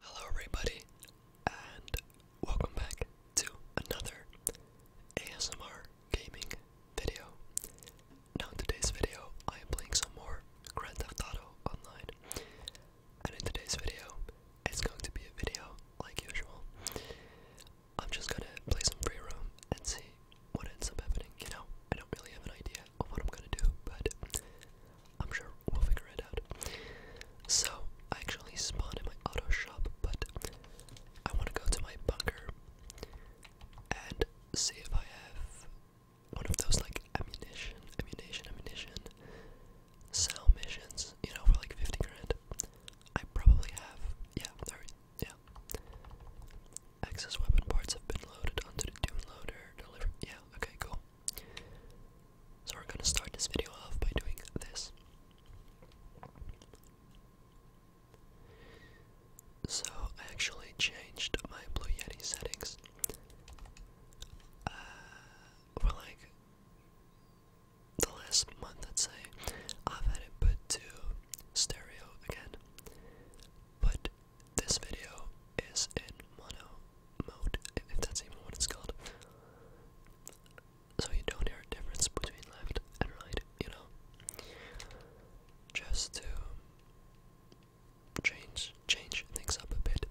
Hello, everybody, and welcome back to another ASMR gaming video. Now, in today's video, I am playing some more Grand Theft Auto Online, and in today's video, it's going to be a video like usual. I'm just gonna play some free roam and see what ends up happening. You know, I don't really have an idea of what I'm gonna do, but I'm sure we'll figure it out. So, I actually spawned in my auto shop, but I want to go to my bunker and see if I have one of those like ammunition, ammunition, ammunition sell missions, you know, for like 50 grand. I probably have, yeah, there, yeah. Access weapon parts have been loaded onto the Doom loader, yeah, okay, cool. So we're going to start this video off by doing this. So I actually changed my Blue Yeti settings uh, for like the last month, I'd say. I've had it put to stereo again, but this video is in mono mode, if that's even what it's called. So you don't hear a difference between left and right, you know? Just to change change things up a bit.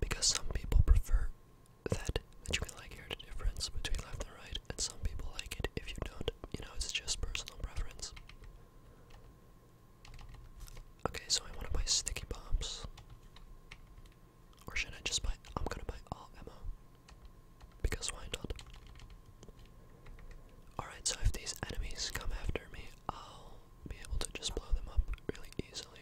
Because some people prefer that that you can like hear the difference between left and right, and some people like it if you don't. You know, it's just personal preference. Okay, so I want to buy sticky bombs. Or should I just buy. I'm gonna buy all ammo. Because why not? Alright, so if these enemies come after me, I'll be able to just blow them up really easily.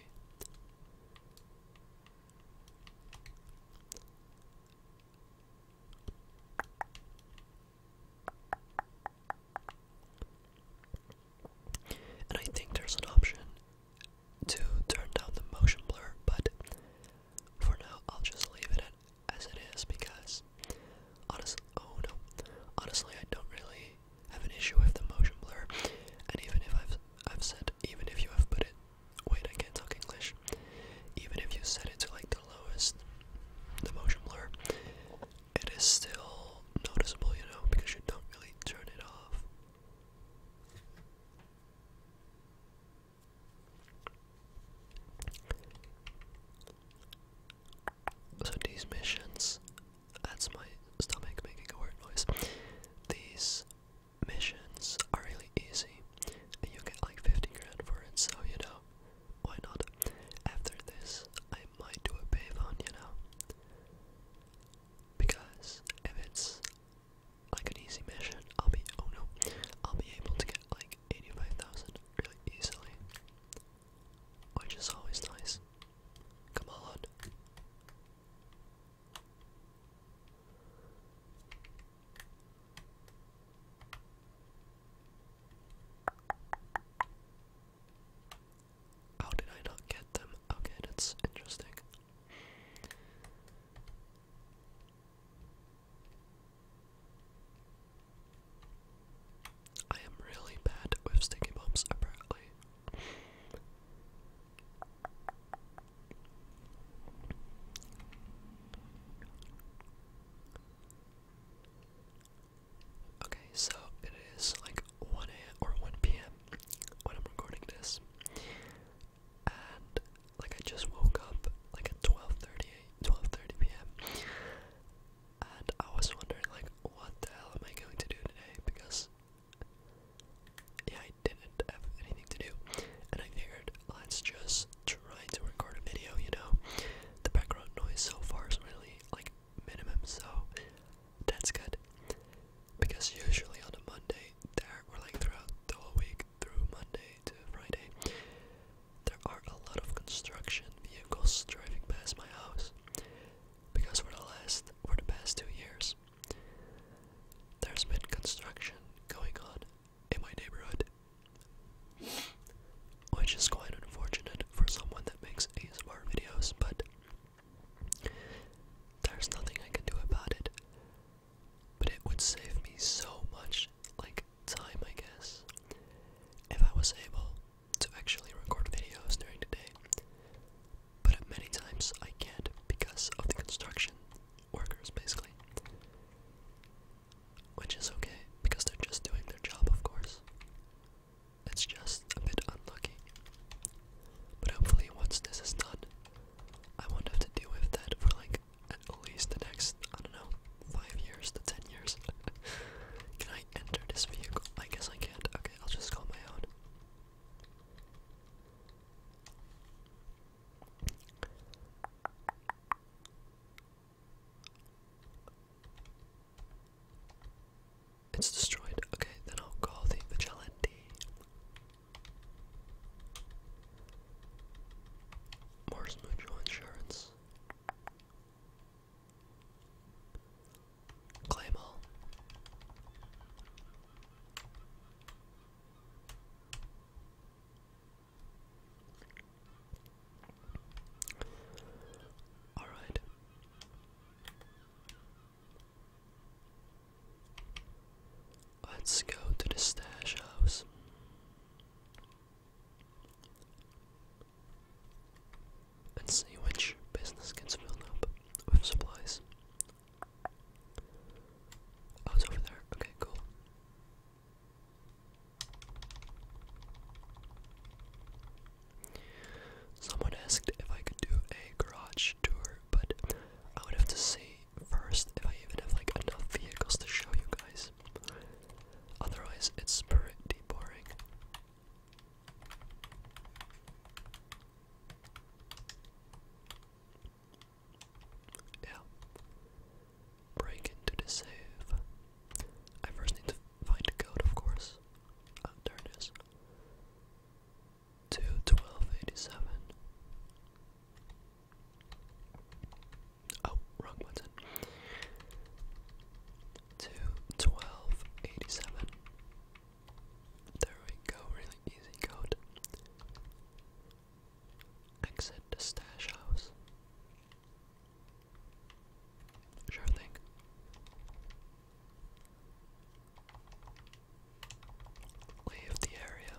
And I think there's an option to turn down the motion blur, but for now I'll just leave it as it is because honestly, oh no, honestly I don't really have an issue with the motion blur. And even if I've I've said, even if you have put it, wait, I can't talk English. Even if you set it to like the lowest, the motion blur, it is still noticeable, you know, because you don't really turn it off. So these missions, that's my stomach making a weird noise. These missions are really easy, and you get like 50 grand for it, so you know, why not? After this, I might do a payphone, you know? Because if it's like an easy mission, I'll be, oh no, I'll be able to get like 85,000 really easily. Which is always nice. Come on. How did I not get them? Okay, that's interesting. I am really bad with sticky bombs, apparently. Okay, so it is like 1 a.m. or 1 p.m. when I'm recording this. And like I just woke up like at 12:30 p.m. And I was wondering like what the hell am I going to do today because yeah, I didn't have anything to do. And I figured let's just trying to record a video, you know, the background noise so far is really like minimum, so that's good. Because usually on a Monday, there or like throughout the week, through Monday to Friday, there are a lot of construction vehicles driving past my house. Because for the last, for the past two years, there's been construction going on in my neighborhood. Which is quite unfortunate for someone that makes ASMR videos, but there's nothing I can do about it. But it would save me so much, like, time, I guess, if I was able to actually record videos during the day. But many times I can't because of the construction workers, basically. Which is okay, because they're just doing their job, of course. It's just a bit unlucky. But hopefully, once this is done, I won't have to deal with that for like at least the next, I don't know, 5 years to 10 years. Can I enter this vehicle? I guess I can't. Okay, I'll just call my own. It's destroyed. Okay, then I'll call the vigilante. Mars Mutual Insurance. Claim all. All right. Let's go to the stash house. And see which business gets filled up with supplies. Oh, I was over there. Okay, cool. Someone asked if I could do a garage tour, but I would have to see first if I even have like enough vehicles to show you guys. Otherwise, it's pretty boring. Yeah. Break into the save. I first need to find the code, of course. Oh, there it is. Two twelve eighty seven. Oh, wrong button. Two twelve eighty seven. There we go, really easy code. Exit the stash house. Sure thing. Leave the area.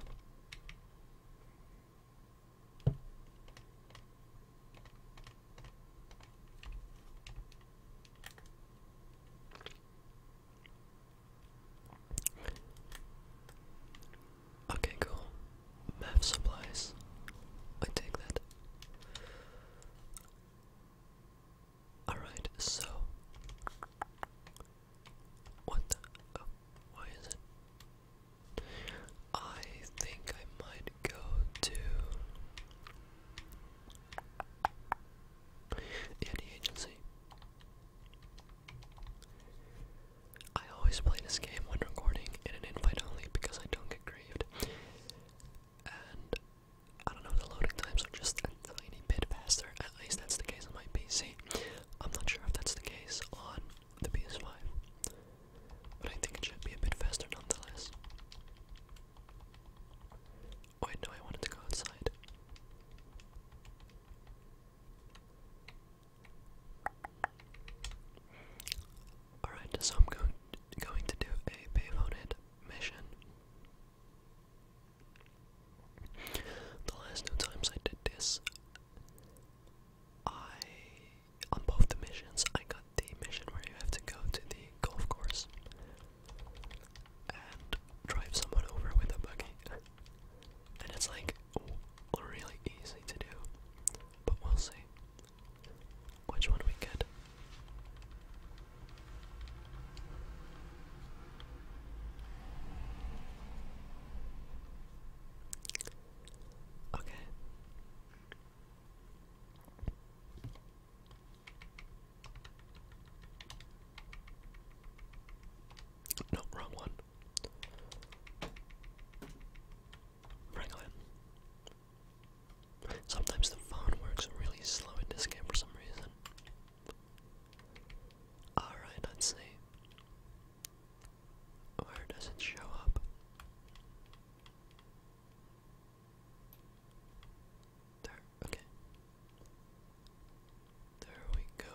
Okay, cool. Math supplies. I take that. Alright, so. What oh, why is it? I think I might go to. the agency. I always play this game when recording in an invite only because I don't get grieved. And I don't know, the loading times are just a tiny bit faster. At least that's the case on my PC. I'm not sure if that's the case on the PS5. But I think it should be a bit faster nonetheless. Wait, no, I wanted to go outside. Alright, so I'm going to do a payloaded mission. The last two times I did this, I on both the missions I got the mission where you have to go to the golf course and drive someone over with a buggy and it's like really easy to do, but we'll see which one we get. Okay. No, wrong one. Franklin. Sometimes the phone works really slow in this game for some reason. Alright, let's see. Where does it show up? There, okay. There we go.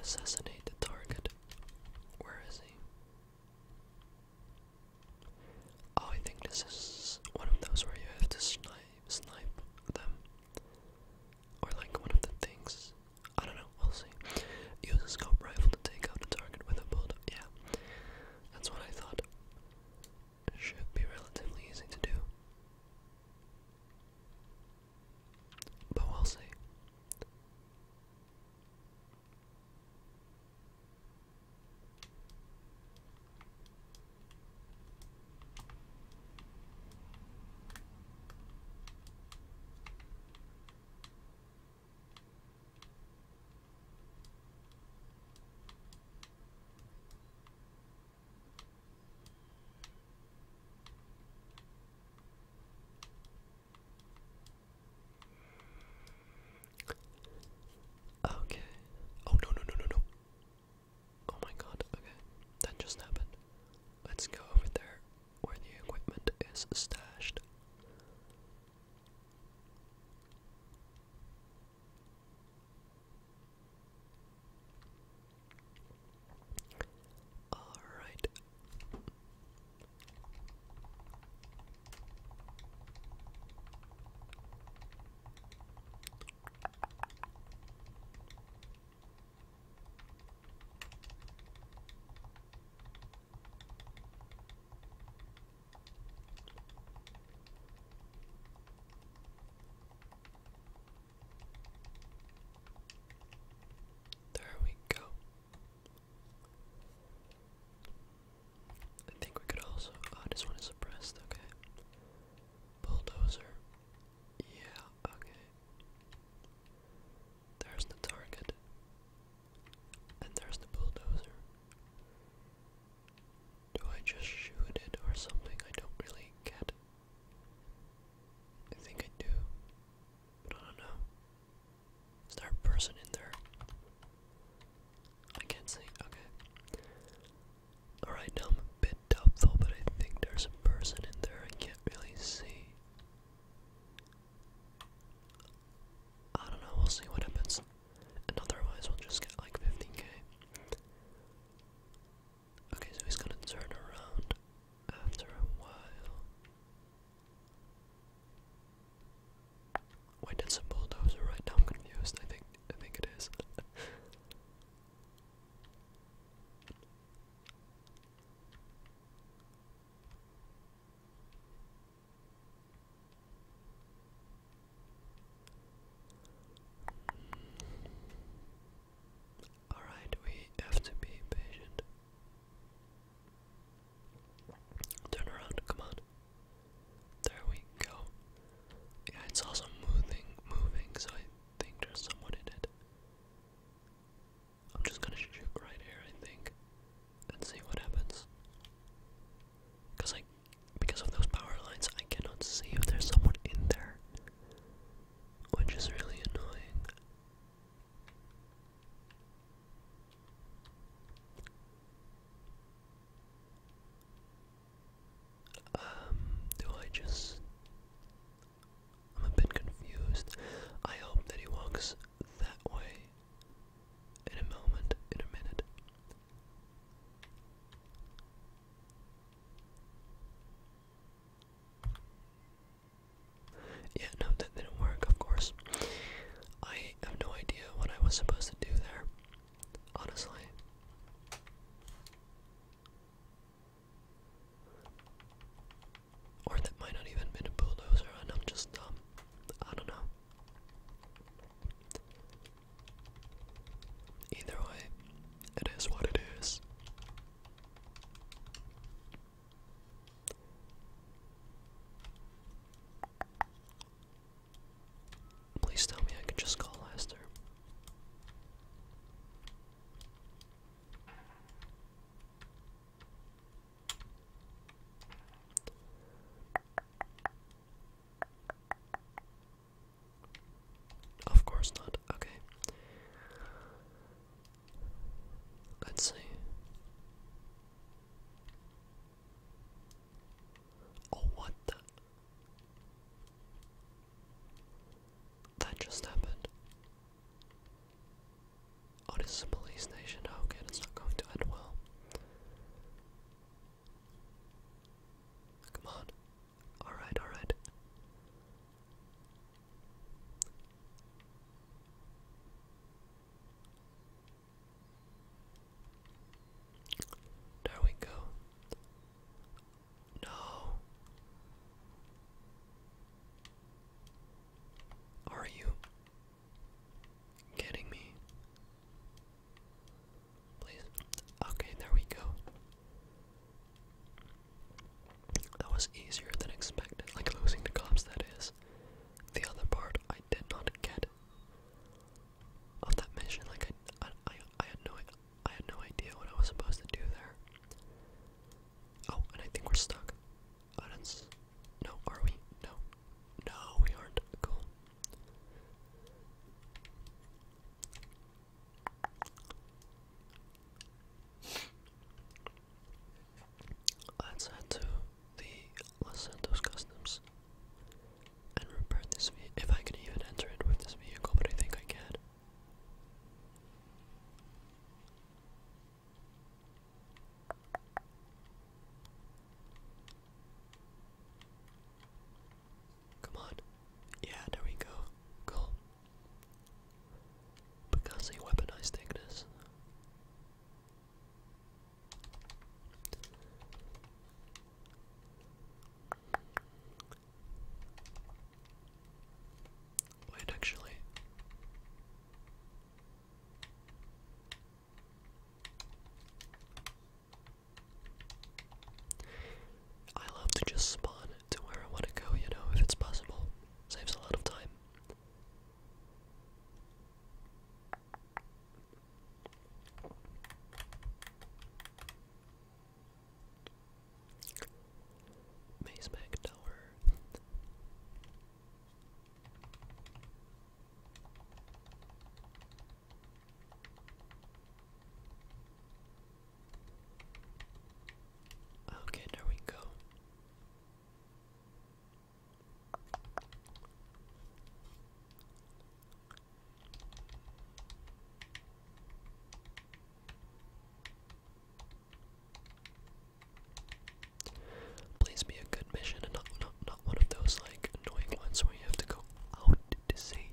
Assassinate the target. Where is he? Oh, I think this is one of those where you have to snipe, snipe them. Or like one of the things. I don't know, we'll Use a scope rifle to take out a target with a bullet. Yeah. That's what I thought. Should be relatively easy to do. But we Okay. Oh no no no no no. Oh my god, okay. That just happened. Let's go over there where the equipment is stashed. Alright. There we go. I think we could also. Oh, I just want to suppress, okay? Bulldozer. Yeah, okay. There's the target. And there's the bulldozer. Do I just shoot it or something? I don't really get. I think I do. But I don't know. Is there a person in there? I can't see. Okay. Alright, now I'm a bit doubtful, but I think there's a person in there I can't really see. I don't know, we'll see what happens. And otherwise, we'll just get like 15k. Okay, so he's gonna turn around after a while. Wait, that's a bulldozer, right? Now I'm confused. I think I think it is. All right, we have to be patient. Turn around, come on. There we go. Yeah, it's also moving, moving, so I think there's someone in it. I'm just gonna shoot right here, I think, and see what happens. Because I, because of those power lines, I cannot see if there's someone in there, which is really annoying. Um, do I just. I'm a bit confused. I hope that he walks that way in a moment, in a minute. Yeah, no, that didn't work, of course. I have no idea what I was supposed to do there honestly. Or that might not even been a bulldozer and I'm just dumb. I don't know. Either way, it is what it is. Please tell me I can just call Lester. Of course not. Okay. Let's see. Oh, what the? That just happened. Oh, this is police station. Oh, okay, that's not going to end well. Come on. Alright, alright. There we go. No. Are you kidding me? Please. Okay, there we go. That was easier than expected, like losing to cops, that is. The other part I did not get of that mission. Like I, I, I had no, I had no idea what I was supposed to do there. Oh, and I think we're stuck. Oh, that's, no, are we? No, no, we aren't. Cool. Let's head to the Los Santos Customs and repair this vehicle. If I can even enter it with this vehicle, but I think I can. Come on. Yeah, there we go. Cool. Because they weaponized Ignis. Wait, actually. I love to just spawn to where I want to go, you know, if it's possible. Saves a lot of time. Maze Mac Tower. Okay, there we go. Please be a good mission and not, not, not one of those like annoying ones where you have to go out to sea.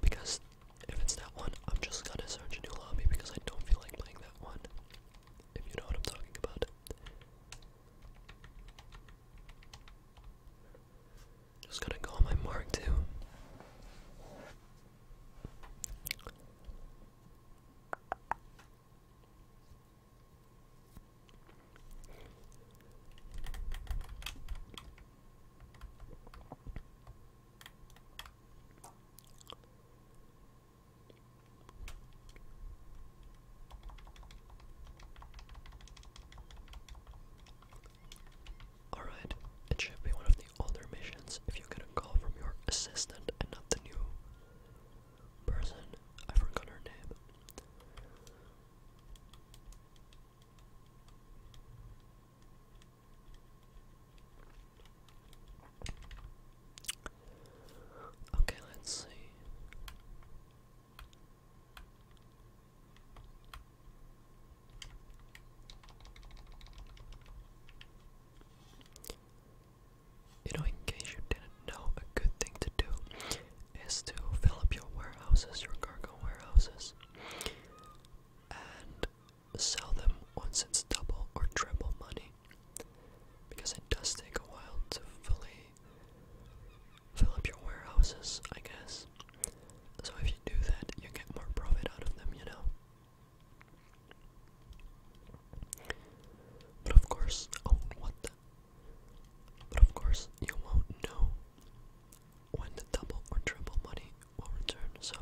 Because if it's that one, I'm just gonna search a new lobby because I don't feel like playing that one. If you know what I'm talking about. Just going to go on my mark too. Alright, it should be one of the older missions if you get a call from your assistant and not the new person. I forgot her name. Okay, let's see. You know, in case you didn't know, a good thing to do is to fill up your warehouses, your cargo warehouses, and sell them once it's double or triple money. Because it does take a while to fully fill up your warehouses, I guess. So if you do that, you get more profit out of them, you know. But of course, oh, what the? But of course, you won't know when the double or triple money will return, so.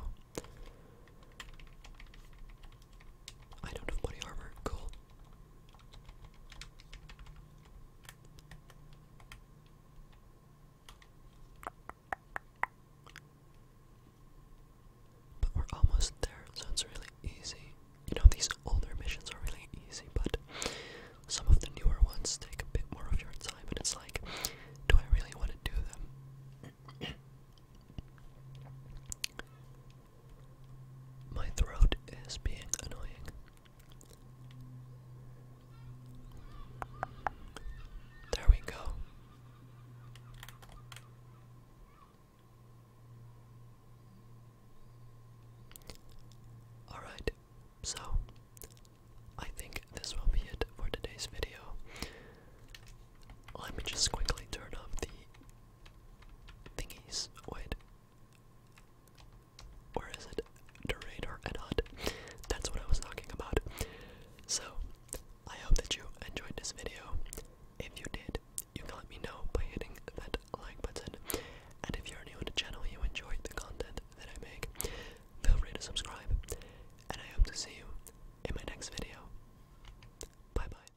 I don't have body armor, cool. But we're almost there, so it's really easy. You know, these older missions are really easy, but some of the newer ones take a bit more of your time, and it's like, do I really want to do them? My throat is being annoying. There we go. Alright, so I think this will be it for today's video. Let me just quickly turn off the thingies. Wait. Where is it? The radar That's what I was talking about. So, I hope that you enjoyed this video. If you did, you can let me know by hitting that like button. And if you're new to the channel, you enjoy the content that I make, feel free to subscribe. And I hope to see you in my next video. Bye bye.